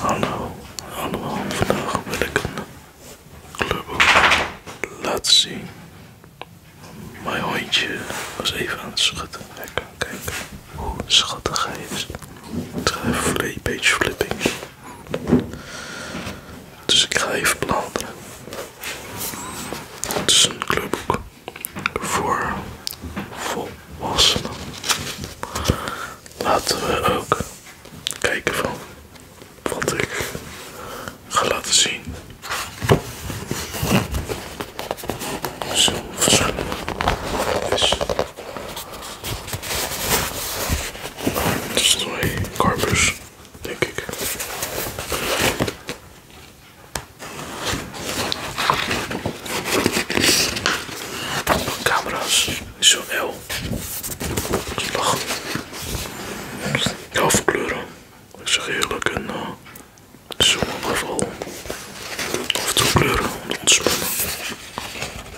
Hallo allemaal, vandaag wil ik een clubboek laten zien. Mijn hondje was even aan het schudden. Kijk, kijken hoe schattig hij is. Het even een page flipping. Dus ik ga even bladeren. Het is een clubboek voor volwassenen laten we ook kijken van wat ik ga laten zien. Zo verschillende is. is twee carpers, denk ik. Camera's, zo heel. Slag. Heel veel kleuren. Ik zeg eerlijk een uh, eh, Of toe kleuren om te ontspannen.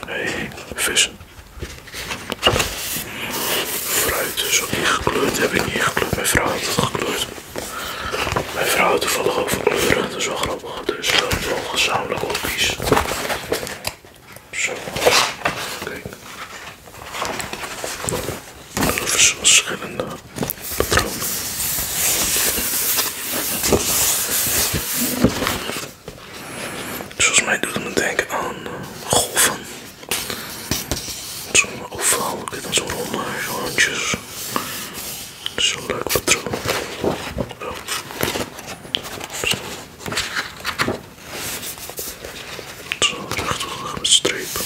Hé, hey, vissen. Fruit is niet gekleurd. Heb ik niet gekleurd. Mijn vrouw had het gekleurd. Mijn vrouw had toevallig ook van kleuren. Dat is wel grappig. Dus zijn wel gezamenlijk opties, Zo. Kijk. Even verschillende patronen. volgens mij doet het me denken aan eh, golven. Zo'n ovaal, dan zo'n ronde rondjes zo leuk patroon. zo, Zo. Zo rechthoekig met strepen.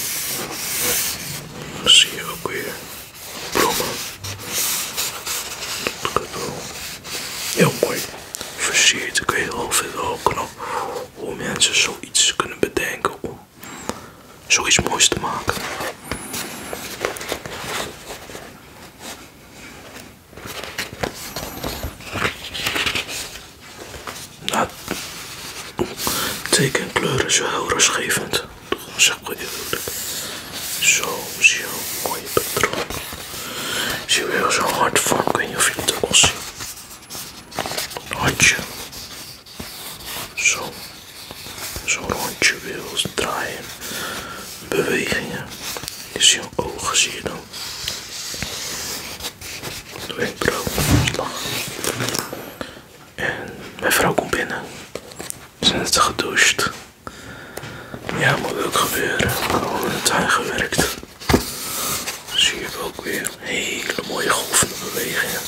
Dan zie je ook weer bloemen. Dat kan wel heel mooi versierd. Ik weet heel veel knap hoe mensen zoiets kunnen bedenken om zoiets moois te maken. Nou, teken kleuren is wel heel rustgevend. Dat zeg zo Zo, zie je een mooie patroon. Zie je wel zo'n hard van ik je het ook al Hartje. Zo. Zo'n rondje wil draaien. Bewegingen. Is je ogen zie je dan. De wenkbrauw. En mijn vrouw komt binnen. Ze zijn net gedoucht. Ja, moet ook gebeuren. Gewoon in de tuin gewerkt. Zie je ook weer hele mooie golfbewegingen bewegingen.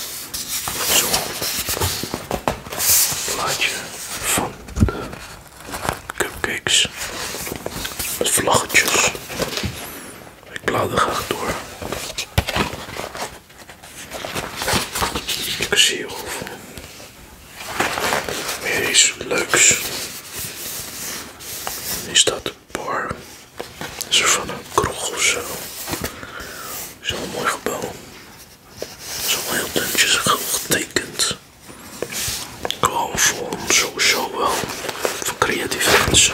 Zo'n plaatje van Cupcakes met vlaggetjes. Ik er graag door. Ik zie hierover. Meer iets leuks. Hier staat de bar. Dat is er van een kroeg of zo. Dat is wel een mooi gebouw. Zo heel duntjes getekend. Gewoon voor om sowieso wel voor creatief mensen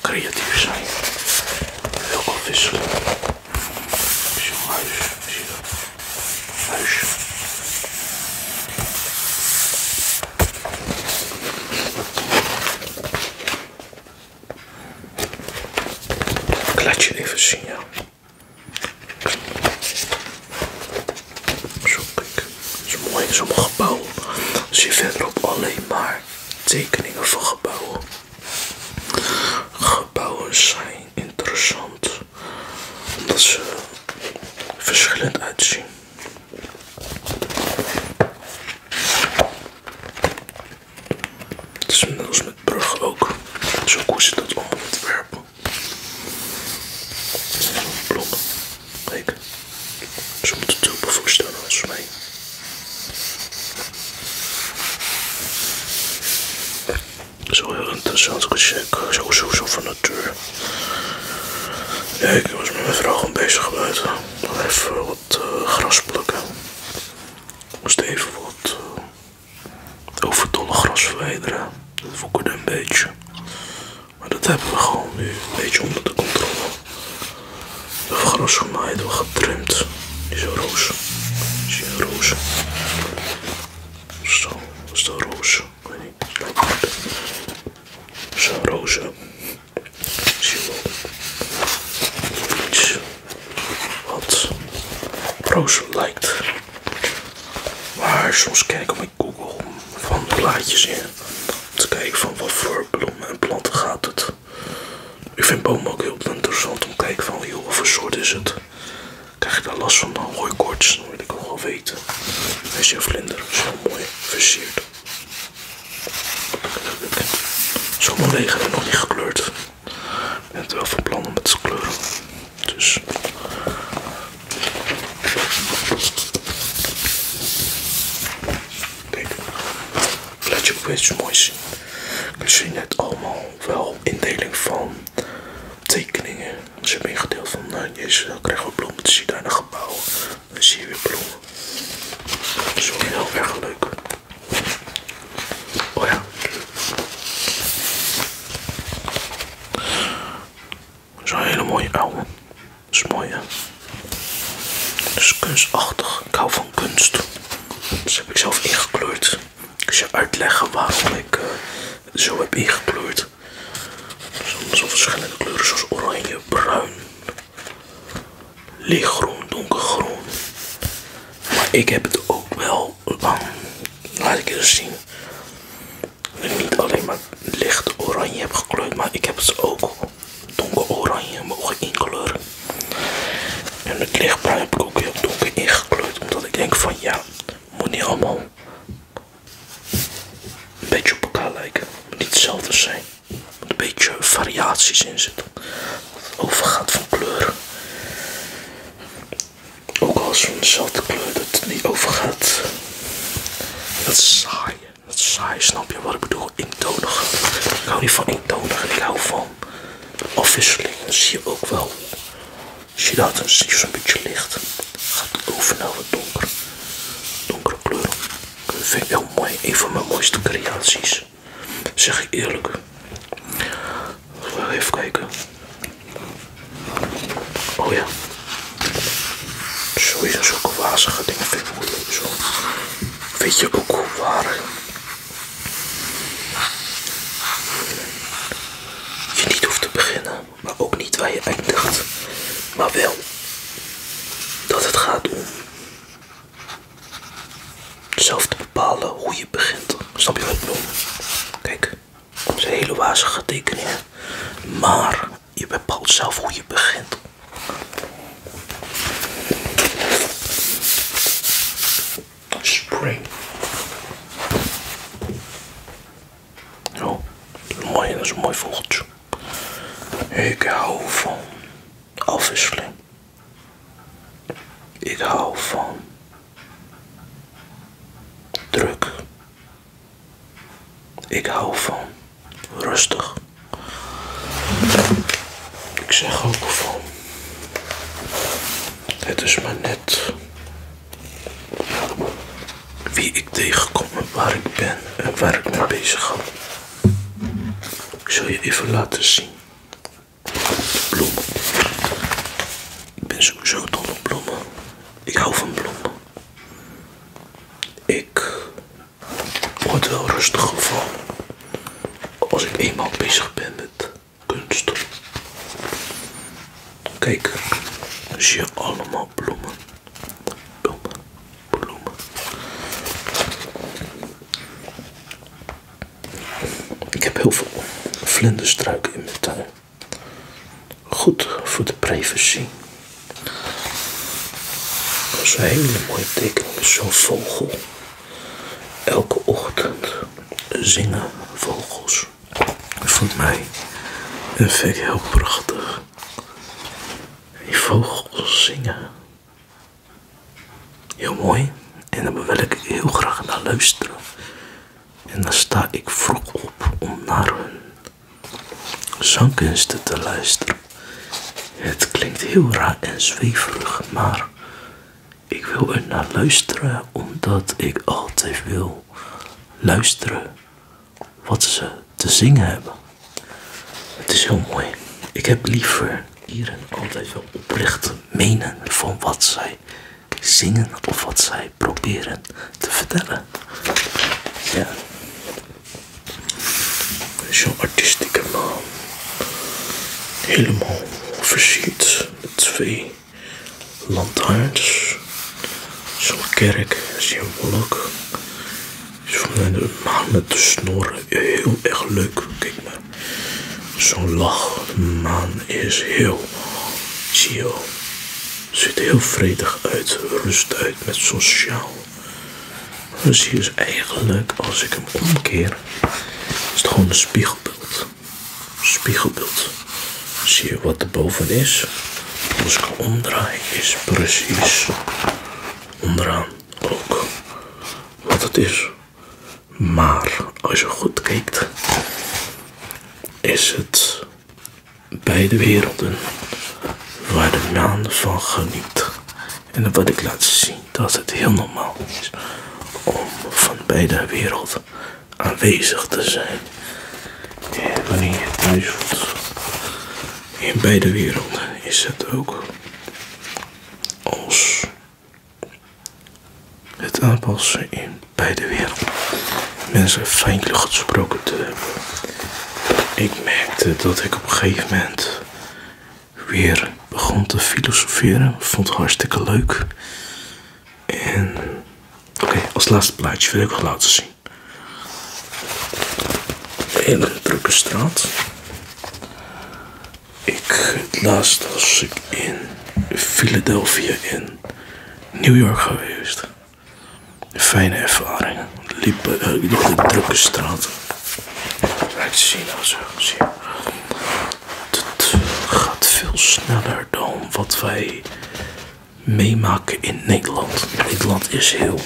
creatief zijn. Heel afwisselen. Is huis, zie je Ik laat je even zien, ja. Zo kijk, Het is mooi. Sommige gebouwen zie je alleen maar tekeningen van gebouwen. Gebouwen zijn interessant omdat ze verschillend uitzien. Het is net als met bruggen ook. Zo koest je dat allemaal ontwerpen. Blok. Kijk. Zo moet het ook voorstellen als mij. Zo heel interessant gecheck. Zo, zo, zo van natuur. kijk ik was met mijn vrouw gewoon bezig buiten. Even wat uh, eh, gras plukken. Moest even wat... Eh, het overdolle gras verwijderen. Dat woekerde een beetje. Maar dat hebben we gewoon nu een beetje onder de controle. We gras gemaaid, we getrimd. Die zo roze, Zie je een roze, Zo, dat is een roze, zo. roze. Zie je wel wat proos lijkt. Maar soms kijk ik op mijn Google van plaatjes in. Om te kijken van wat voor bloemen en planten gaat het. Ik vind bomen ook heel interessant om te kijken van joh, wat soort is het. Krijg je daar last van dan hooikoorts, dan wil ik ook wel weten. een vlinder zo mooi versierd. Zo leeg nog niet gekleurd. Ik ben wel van plan met zijn kleuren. Dus. Kijk, laat je ook iets mooi zien. Ik zien het allemaal wel indeling van tekeningen. Als je hebt van nou, dan krijgen we bloemen. Dan zie je daar een gebouw. Dan zie je weer bloemen. Dat is wel heel erg leuk. Oh ja. Zo'n hele mooie oude. Dat is mooi, hè? Dat is kunstachtig. Ik hou van kunst. Dat dus heb ik zelf ingekleurd. Ik zal uitleggen waarom ik het eh, zo heb ingekleurd. Zonder zo verschillende kleuren zoals oranje, bruin, lichtgroen, donkergroen. Maar ik heb het ook wel Laat ik het zien. niet alleen maar licht oranje heb gekleurd, maar ik heb ze ook donker oranje mogen inkleuren. En het lichtbruin heb ik ook heel donker ingekleurd, omdat ik denk van ja, moet niet allemaal een beetje op elkaar lijken, moet niet hetzelfde zijn een beetje variaties in zitten. Het overgaat van kleur. Ook als van dezelfde kleur dat het niet overgaat. Dat is saai. Dat saai, snap je wat ik bedoel? Eentonig. Ik hou niet van eentonig ik hou van afwisseling. Dan zie je ook wel. als je dat? een een beetje licht. Gaat het over naar wat donker. Donkere kleuren. Dat vind ik heel mooi. Een van mijn mooiste creaties. Zeg zeg ik eerlijk. Even kijken. Oh ja. Sowieso ook wazige dingen vind ik Zo. vind je ook hoe waar? Je niet hoeft te beginnen, maar ook niet waar je eindigt. Maar wel dat het gaat om zelf te bepalen hoe je begint. Snap je wat ik bedoel? Kijk, het is een hele wazige tekening. Maar je bepaalt zelf hoe je begint. Spring. Oh, mooi, dat is een mooi vogeltje. Ik hou van Obviously. Ik hou van druk. Ik hou van rustig. Ik zeg ook van het is maar net wie ik tegenkom en waar ik ben en waar ik mee bezig ga. Ik zal je even laten zien. bloemen. Ik ben sowieso dol op bloemen. Ik hou van bloemen. Ik word wel rustig gevallen als ik eenmaal bezig ben met kunst. Kijk, zie je allemaal bloemen. Bloemen, ik heb heel veel vlinderstruiken in mijn tuin. Goed voor de privacy. Dat is een hele mooie tekening, zo'n vogel. Elke ochtend zingen vogels. Dat vond mij een heel prachtig. Die vogels zingen. Heel mooi. En daar wil ik heel graag naar luisteren. En dan sta ik vroeg op om naar hun zangkunsten te luisteren. Het klinkt heel raar en zweverig, maar ik wil er naar luisteren omdat ik altijd wil luisteren wat ze te zingen hebben. Het is heel mooi. Ik heb liever hier altijd wel oprecht menen van wat zij zingen of wat zij proberen te vertellen. Ja. Zo'n artistieke man. Helemaal versierd met twee lantaarns. Zo'n kerk, symboliek. Met de snor heel erg leuk. Kijk maar. Zo'n lach. Man is heel chill. Ziet er heel vredig uit. Rust uit met zo'n sjaal. Dus hier is eigenlijk, als ik hem omkeer, is het gewoon een spiegelbeeld. Spiegelbeeld. Zie je wat er boven is? Als ik hem omdraai, is precies onderaan ook wat het is. Maar als je goed kijkt, is het beide werelden waar de maan van geniet. En wat ik laat zien, dat het heel normaal is om van beide werelden aanwezig te zijn. wanneer je thuis in beide werelden is het ook als het aanpassen in beide werelden. Mensen feindelijk gesproken te hebben. Ik merkte dat ik op een gegeven moment weer begon te filosoferen. Vond het hartstikke leuk. En oké, als laatste plaatje wil ik wel laten zien. Hele drukke straat. Ik, het laatst was ik in Philadelphia in New York geweest. Fijne ervaring. Liep de eh, drukke straten. Kijk, zie nou Zie. Het gaat veel sneller dan wat wij meemaken in Nederland. Nederland is heel.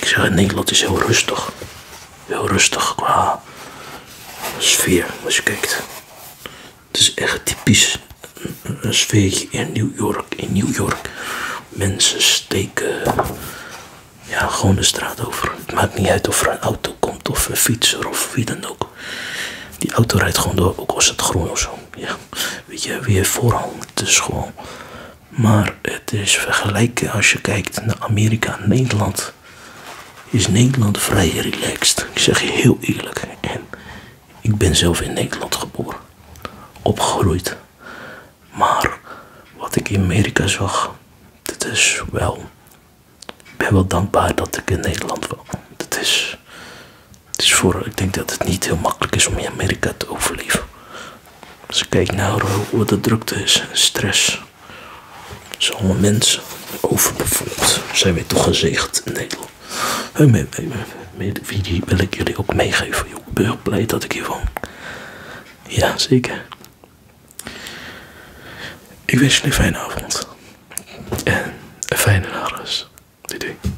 Ik zeg, Nederland is heel rustig. Heel rustig qua sfeer als je kijkt. Het is echt typisch een, sfeertje in New York. In New York. Mensen steken ja, gewoon de straat over. Het maakt niet uit of er een auto komt of een fietser of wie dan ook. Die auto rijdt gewoon door, ook als het groen of zo. Ja. Weet je, weer vooral dus school. Maar het is vergelijken als je kijkt naar Amerika en Nederland. Is Nederland vrij relaxed. Ik zeg je heel eerlijk. En ik ben zelf in Nederland geboren. Opgegroeid. Maar wat ik in Amerika zag. dat is wel. Ik ben wel dankbaar dat ik in Nederland woon. Dat is dus voor, ik denk dat het niet heel makkelijk is om in Amerika te overleven. Als ik kijk naar wat eh, de drukte is en stress. Dus allemaal mensen overbevolkt. Zijn we toch gezegend in Nederland. Wie wil ik jullie ook meegeven. Ik ben heel blij dat ik hier woon. Ja, zeker. Ik wens jullie een fijne avond. En een fijne nagels, Doei doei.